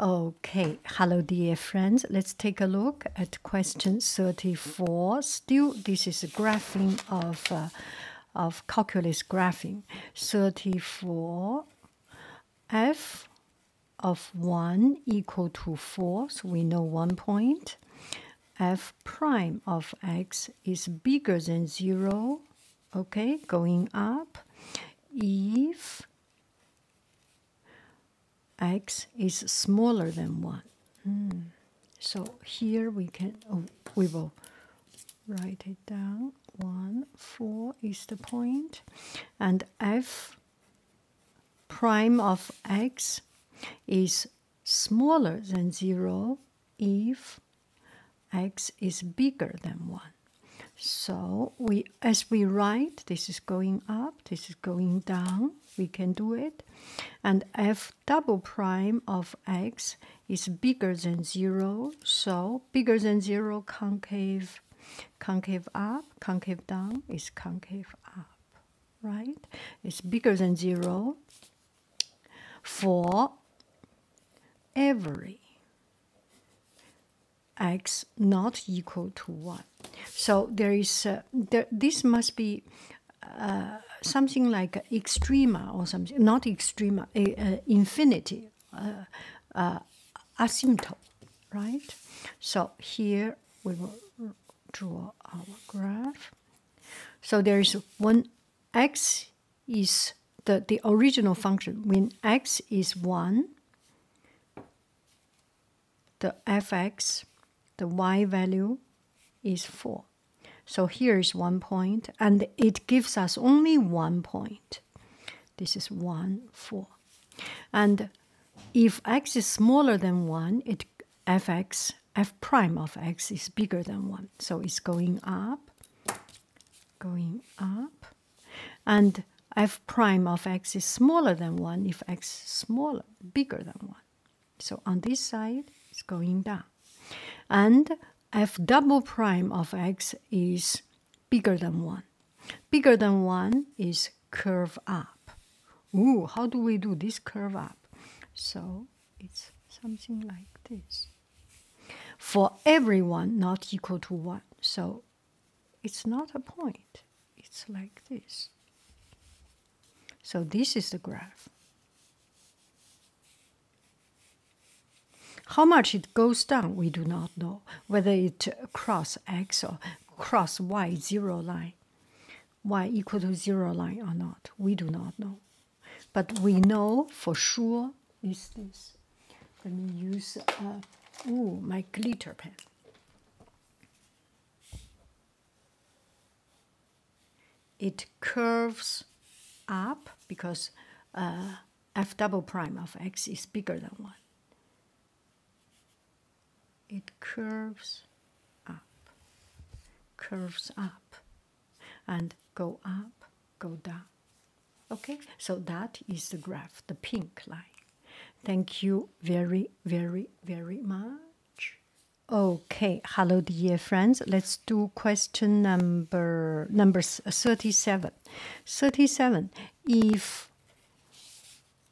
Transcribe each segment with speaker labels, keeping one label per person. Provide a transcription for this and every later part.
Speaker 1: Okay, hello dear friends. Let's take a look at question 34. Still, this is a graphing of, uh, of calculus graphing. 34, f of 1 equal to 4, so we know one point. f prime of x is bigger than 0, okay, going up. If x is smaller than 1. Hmm. So here we can, oh, we will write it down. 1, 4 is the And f prime of x is smaller than 0 if x is bigger than 1. So we, as we write, this is going up, this is going down. We can do it, and f double prime of x is bigger than zero. So bigger than zero, concave, concave up, concave down is concave up, right? It's bigger than zero for every x not equal to 1. So there is uh, this must be uh, something like extrema or something, not extrema, infinity, uh, asymptote, right? So here we will draw our graph. So there is when x is the, the original function, when x is 1, the fx, the y value is 4. So here is one point, and it gives us only one point. This is 1, 4. And if x is smaller than 1, it fx, f prime of x is bigger than 1. So it's going up, going up and f prime of x is smaller than 1 if x is smaller, bigger than 1. So on this side, it's going down. And f double prime of x is bigger than 1. Bigger than 1 is curve up. Ooh, how do we do this curve up? So it's something like this. For everyone not equal to 1. So it's not a point, it's like this. So, this is the graph. How much it goes down, we do not know, whether it cross x or cross y zero line, y equal to zero line or not, we do not know. But we know for sure is this. Let me use, uh, ooh, my glitter pen. It curves up because uh, f double prime of x is bigger than 1. It curves up, curves up, and go up, go down. Okay, so that is the graph, the pink line. Thank you very, very, very much. Okay, hello, dear friends. Let's do question number number uh, thirty-seven. Thirty-seven. If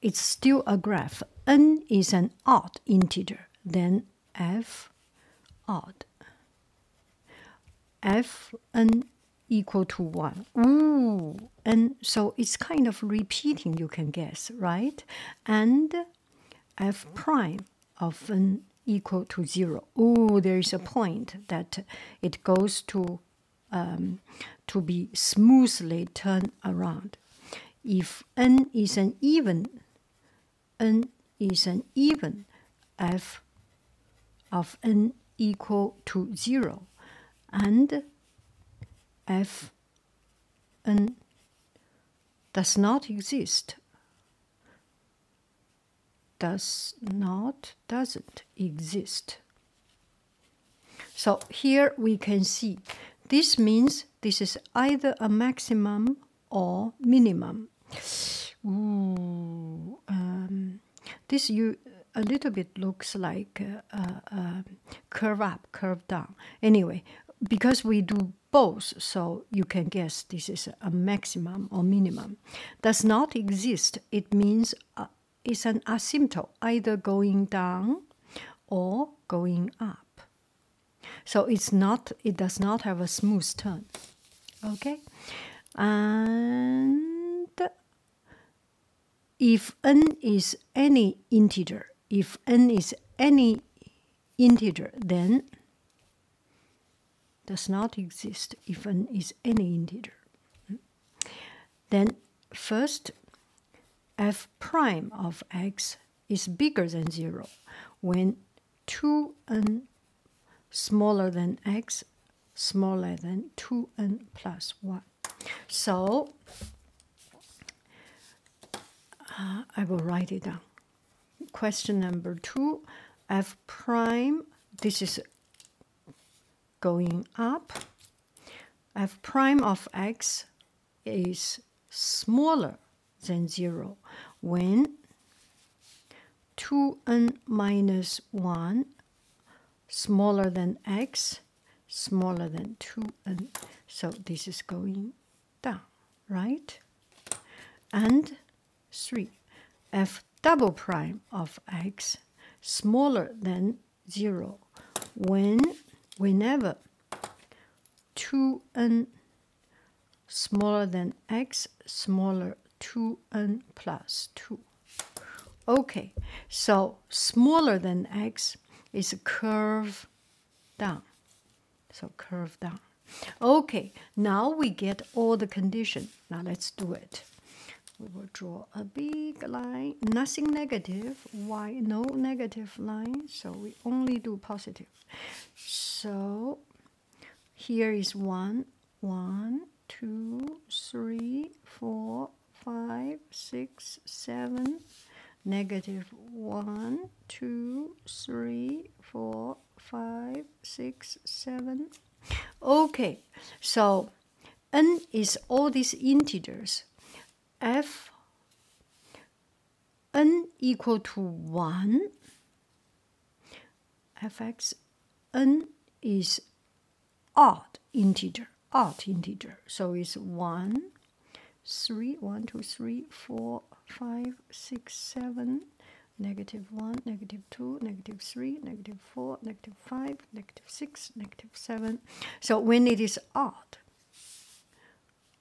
Speaker 1: it's still a graph, n is an odd integer, then f odd. f n equal to 1. and so it's kind of repeating, you can guess, right? And f prime of n equal to 0. Oh, there is a point that it goes to um, to be smoothly turned around. If n is an even, n is an even, f of n equal to 0. And FN does not exist. Does not, doesn't exist. So here we can see this means this is either a maximum or minimum. Um, this you a little bit looks like uh, uh, curve up, curve down. Anyway, because we do both, so you can guess this is a maximum or minimum. Does not exist, it means uh, it's an asymptote, either going down or going up. So it's not, it does not have a smooth turn. Okay? And if n is any integer, if n is any integer, then does not exist if n is any integer. Then first, f prime of x is bigger than 0 when 2n smaller than x smaller than 2n plus 1. So uh, I will write it down. Question number two f prime, this is going up. f prime of x is smaller than 0 when 2n minus 1 smaller than x, smaller than 2, and so this is going down, right? And 3, f double prime of x smaller than 0 when whenever 2n smaller than x smaller 2n plus 2 okay so smaller than X is a curve down. So curve down. Okay, now we get all the condition. Now let's do it. We will draw a big line, nothing negative, y, no negative line, so we only do positive. So here is one, one, two, three, four, five, six, seven, negative one, two, three, four, five, six, seven. Okay, so n is all these integers. f n equal to 1 fx n is odd integer, odd integer. So it's 1, 3, 1, 2, 3, 4, 5, 6, 7, negative 1, negative 2, negative 3, negative 4, negative 5, negative 6, negative 7. So when it is odd,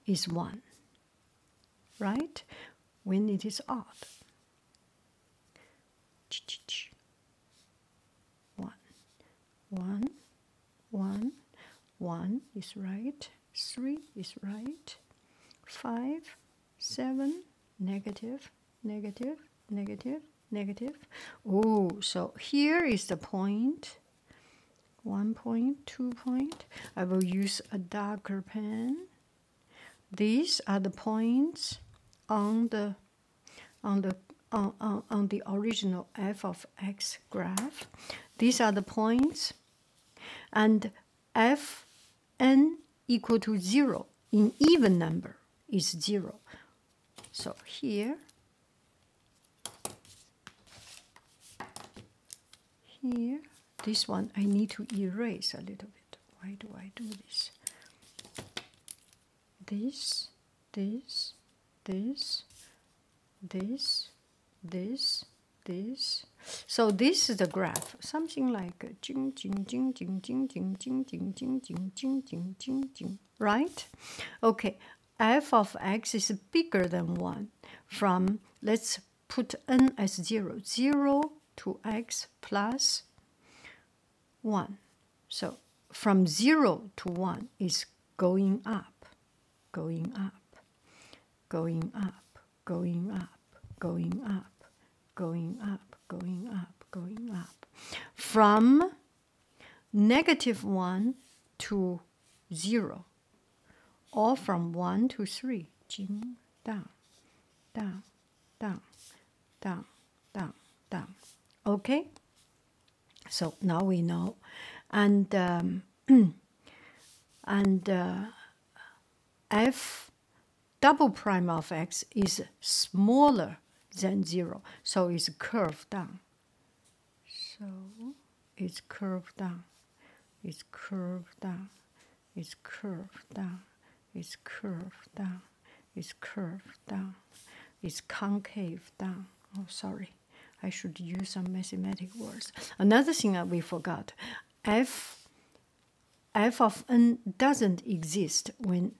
Speaker 1: is 1, right? When it is odd one, one, one, one is right, three is right, five, seven, negative, negative, negative, negative. Oh, so here is the point. One point, two point. I will use a darker pen. These are the points on the on the on, the original f of x graph. These are the points, and f n equal to 0 in even number is 0. So here, here, this one I need to erase a little bit. Why do I do this? This this, this, this, this, this. So this is the graph, something like jing jing jing jing jing jing jing jing jing jing jing jing jing jing. Right? Okay. f of x is bigger than one. From let's put n as zero, zero to x plus one. So from zero to one is going up going up, going up, going up, going up, going up, going up, going up. From negative 1 to 0, or from 1 to 3, jing, down, down, down, down, down, down. Okay? So now we know, and um, and uh, f double prime of x is smaller than zero, so it's curved down. So it's curved down. It's curved down. It's curved down. It's curved down. It's curved down. It's concave down. Oh, sorry. I should use some mathematic words. Another thing that we forgot, f, f of n doesn't exist when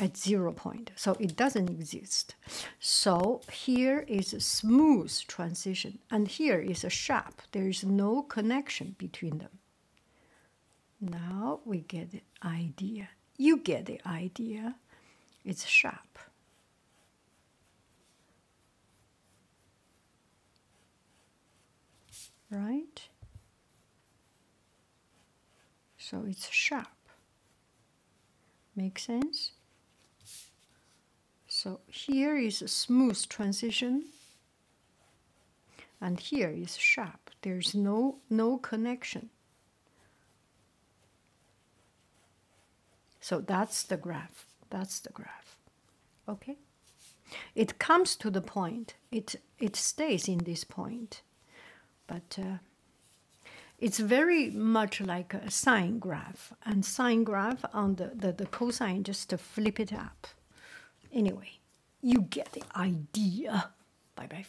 Speaker 1: at zero point, so it doesn't exist. So here is a smooth transition, and here is a sharp. There is no connection between them. Now we get the idea. You get the idea. It's sharp right? So it's sharp. Makes sense? So here is a smooth transition and here is sharp. There's no, no connection. So that's the graph. That's the graph. Okay? It comes to the point. It, it stays in this point. But uh, it's very much like a sine graph. And sine graph on the, the, cosine, just to flip it up. Anyway, you get the idea. Bye-bye,